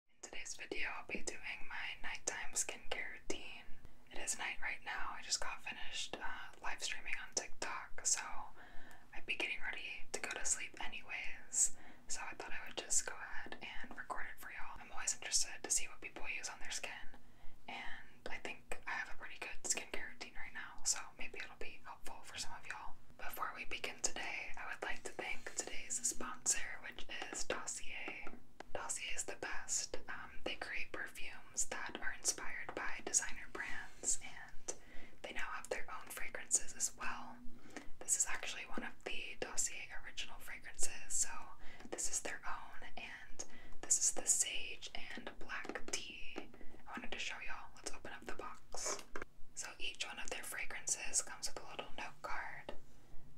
In today's video, I'll be doing my nighttime skincare routine. It is night right now. I just got finished uh, live streaming on TikTok, so I'd be getting ready to go to sleep anyways. So I thought I would just go ahead and record it for y'all. I'm always interested to see what people use on their skin, and I think I have a pretty good skincare routine right now, so maybe it'll be helpful for some of y'all. Before we begin today, I would like to thank today's sponsor, which is Dossier. Dossier is the best. Um, they create perfumes that are inspired by designer brands, and they now have their own fragrances as well. This is actually one of the Dossier original fragrances, so this is their own, and this is the sage and black tea. I wanted to show y'all. Let's open up the box. So each one of their fragrances comes with a little note card.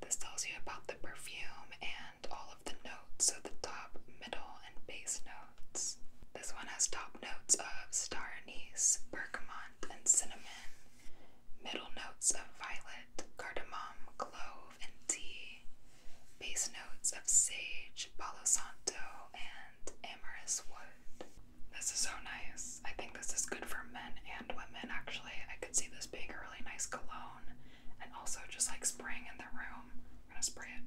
This tells you about the perfume and all of the notes, so the top, middle, and base notes. This one has top notes of star anise, bergamot, and cinnamon, middle notes of violet, cardamom, clove, and tea, base notes of sage, palo santo, and amorous wood. This is so nice. I think this is good for men and women, actually. I could see this being a really nice cologne and also just like spraying in the room. I'm gonna spray it.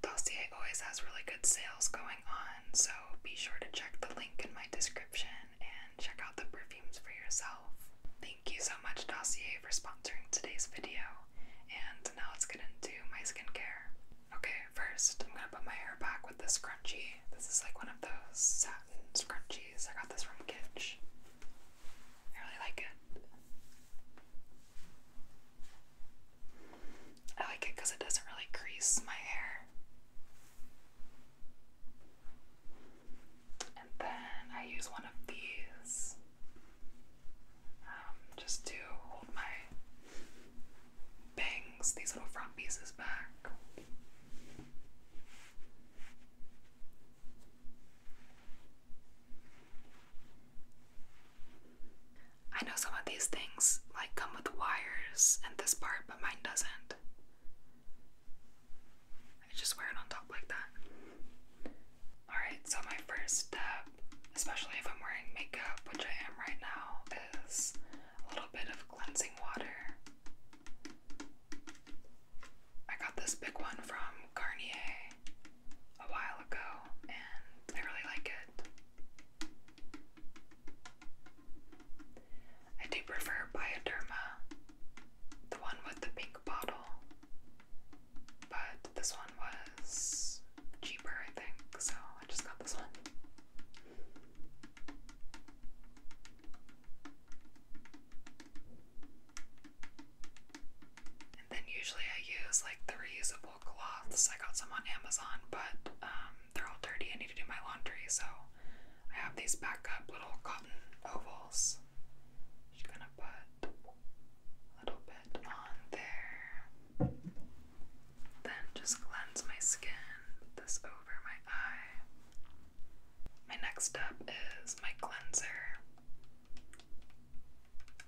Dossier always has really good sales going on, so be sure to check the link in my description and check out the perfumes for yourself. Thank you so much, Dossier, for sponsoring today's video. And now let's get into my skincare. Okay, first I'm gonna put my hair back with this scrunchie. This is like one of those scrunchies. I got this from Kitsch. I really like it. I like it because it doesn't really crease my hair. And then I use one of these um, just to hold my bangs, these little front pieces back. I know some of these things like come with wires and this part, but mine doesn't. I just wear it on top like that. Alright, so my first step, especially if I'm wearing makeup, which I am right now, is a little bit of cleansing water. I got this big one from Garnier a while ago, and I really like it. I do prefer Bioderma, the one with the pink bottle, but this one was cheaper, I think, so I just got this one. And then usually I use like the reusable cloths. I got some on Amazon, but um, they're all dirty. I need to do my laundry, so I have these backup little cotton ovals. Just gonna put a little bit on there. Then just cleanse my skin. this over my eye. My next step is my cleanser.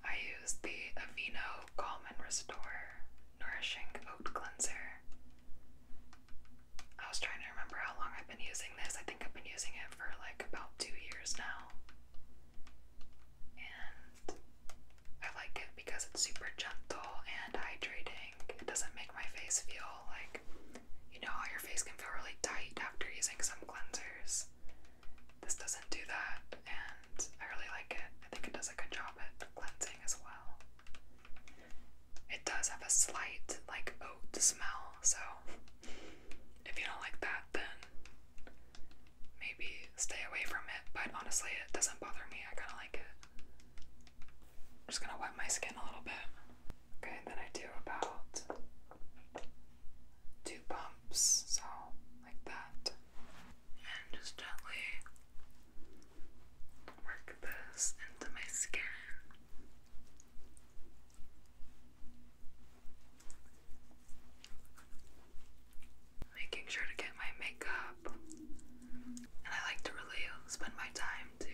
I use the Aveeno Calm and Restore Nourishing Oat Cleanser. I was trying to remember how long I've been using this. I think I've been using it for like about two years now. And I like it because it's super gentle and hydrating. It doesn't make my face feel like you know how your face can feel really tight after using some cleansers. This doesn't do that, and I really like it. I think it does a good job at cleansing as well. It does have a slight, like, oat smell, so if you don't like that, then maybe stay away from it. But honestly, it doesn't bother me. I kind of like it. I'm just gonna wet my skin a little bit. Okay, then I do about two bumps, so like that. And just gently work this into my skin. Making sure to get my makeup. And I like to really spend my time to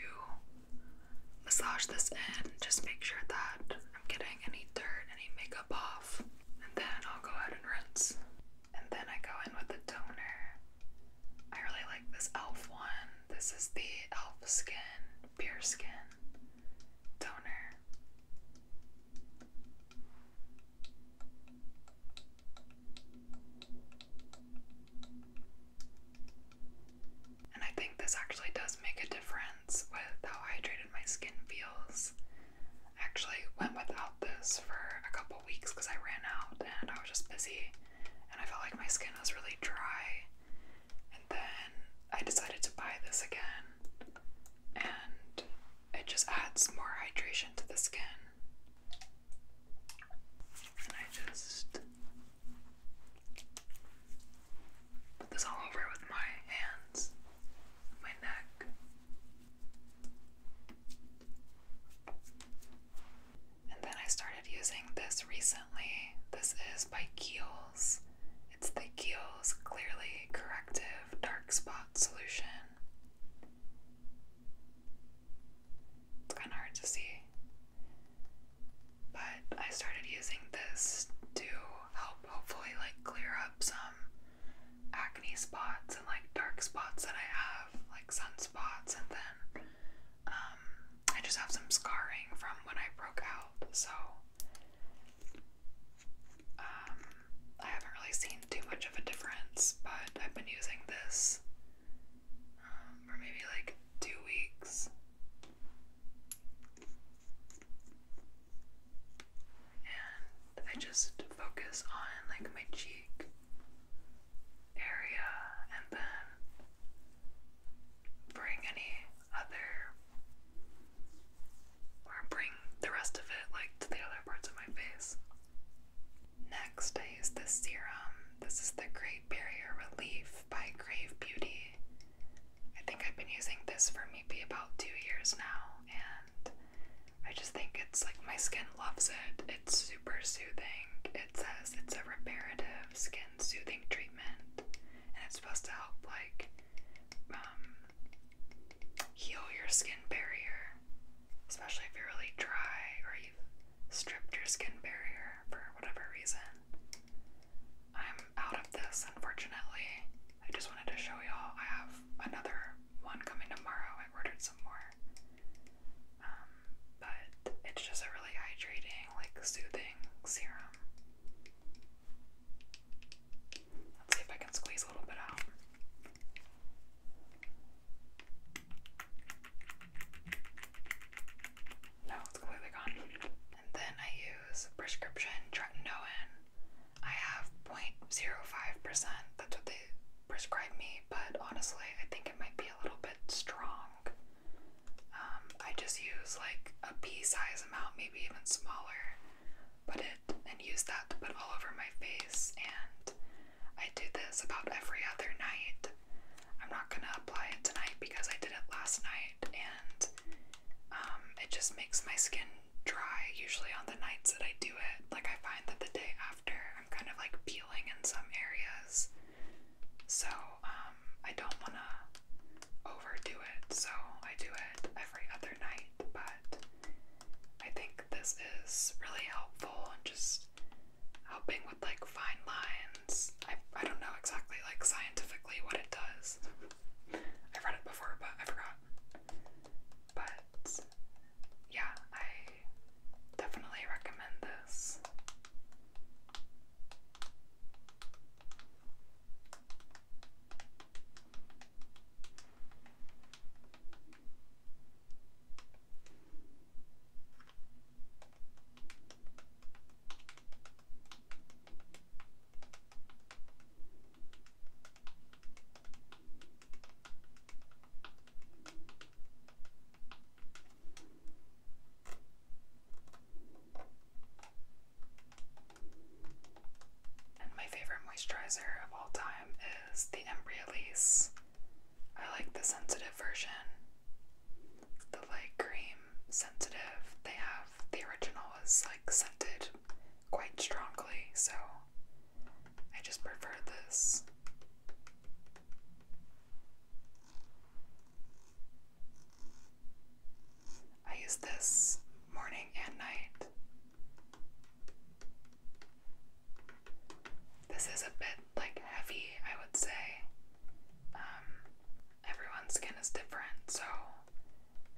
massage this in, just make sure that I'm getting any dirt, any makeup off, and then I'll go ahead and rinse. And then I go in with the toner. I really like this e.l.f. one. This is the e.l.f. Skin, Pure Skin toner. And I think this actually does make a difference with how hydrated my skin feels. I actually went without this for a couple weeks because I ran out and I was just busy and I felt like my skin was really dry. And then I decided to buy this again and it just adds more hydration to the skin. And I just Put this all over with my hands, my neck. And then I started using this recently. This is by Kiehl's. It's the Kiehl's Clearly Corrective Dark Spot Solution. It's kind of hard to see but I started using this to help hopefully like clear up some acne spots and like dark spots that I have, like sunspots, and then um, I just have some scarring from when I broke out, so um, I haven't really seen too much of a difference, but I've been using this um, maybe like two weeks. And I just focus on like my cheek area and then bring any other or bring the rest of it like to the other parts of my face. Next, I use this serum. This is the Great Barrier Relief by Grave Beauty. I think I've been using this for maybe about two years now, and I just think it's like my skin loves it. It's super soothing. It says it's a reparative skin soothing treatment, and it's supposed to help like um, heal your skin barrier, especially if you're really dry or you've stripped your skin barrier for whatever reason. I'm out of this, unfortunately. I just wanted to show y'all. I have another one coming tomorrow. I ordered some more. Um, but it's just a really hydrating, like soothing serum. Let's see if I can squeeze a little bit out. No, it's completely gone. And then I use prescription tretinoin. I have 0.05%. That's what they prescribe me, but honestly, I think it might be a little bit strong. Um, I just use like a pea size amount, maybe even smaller, put it and use that to put all over my face. And I do this about every other night I'm not gonna apply it tonight because I did it last night and um, it just makes my skin dry usually on the nights that I do it. Like, I find that the day after I'm kind of like peeling in some areas. So, um, I don't want to overdo it, so I do it every other night. But I think this is really helpful and just helping with like fine lines patterns. I, I don't know exactly, like, scientifically what it does. I've read it before, but I forgot. But yeah, I definitely recommend this. And my favorite moisturizer of all time is the Embryolisse. I like the sensitive version the light cream sensitive they have. The original is like scented quite strongly, so I just prefer this. I use this morning and night. This is a bit like heavy, I would say. Um, everyone's skin is different, so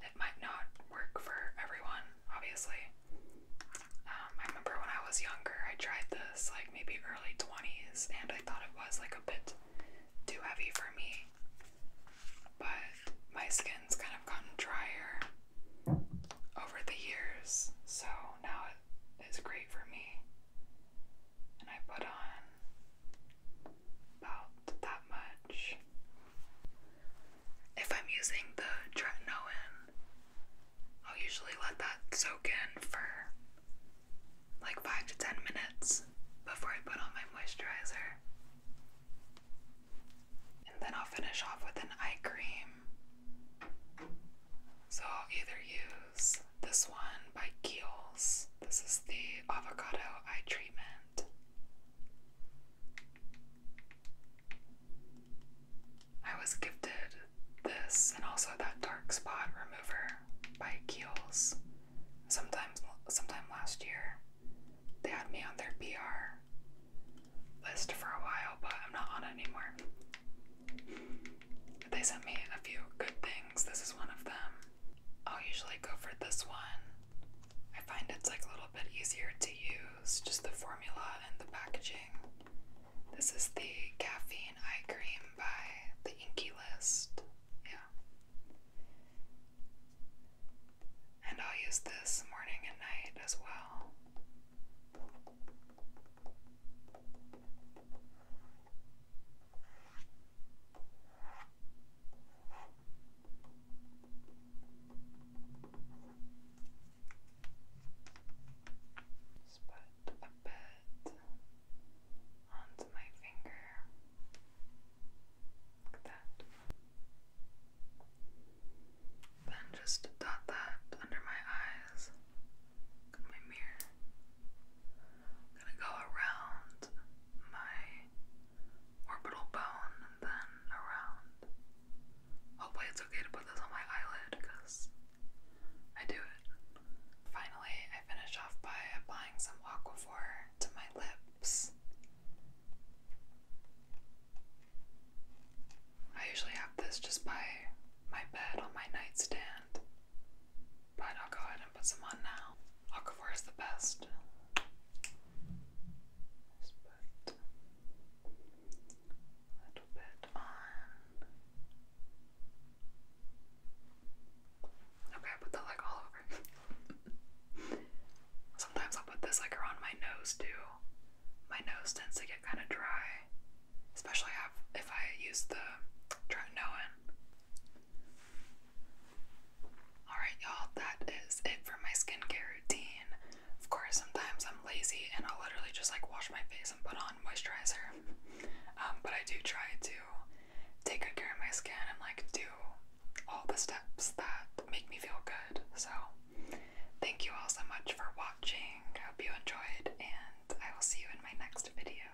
it might not work for everyone, obviously. Um, I remember when I was younger, I tried this like maybe early 20s, and I thought it was like a bit too heavy for me. But my skin's kind of gotten drier over the years, so now it is great for me. And I put on about that much. If I'm using the tretinoin, I'll usually let that soak in for like 5 to 10 minutes before I put on my moisturizer. And then I'll finish off with an eye cream. So I'll either use this one by Kiehl's. This is the avocado eye treatment. I was gifted this and also that dark spot remover by Kiehl's. Sometimes, sometime last year, they had me on their PR list for a while, but I'm not on it anymore. they sent me a few good things. This is one of them. I'll usually go for this one. I find it's like a little bit easier to use, just the formula and the packaging. This is the Caffeine Eye Cream by the Inky List. Yeah. And I'll use this morning and night as well. Spot a bit onto my finger. Like that. Then just dot that under my eyes. Look at my mirror gonna go around my orbital bone and then around. Hopefully, it's okay to put this on my eyelid because I do it. Finally, I finish off by applying some Aquaphor to my lips. I usually have this just by my bed on my nightstand. But I'll go ahead and put some on now. Aquaphor is the best. Just put a little bit on. Okay, I put that like all over. Sometimes I'll put this like around my nose too. My nose tends to get kind of dry, especially if I use the tretinoin. Alright, y'all, that is it for my skincare routine. Of course, sometimes I'm lazy and I'll literally just like wash my face and put on moisturizer. Um, but I do try to take good care of my skin and like do all the steps that make me feel good. So, thank you all so much for watching. I hope you enjoyed, and I will see you in my next video.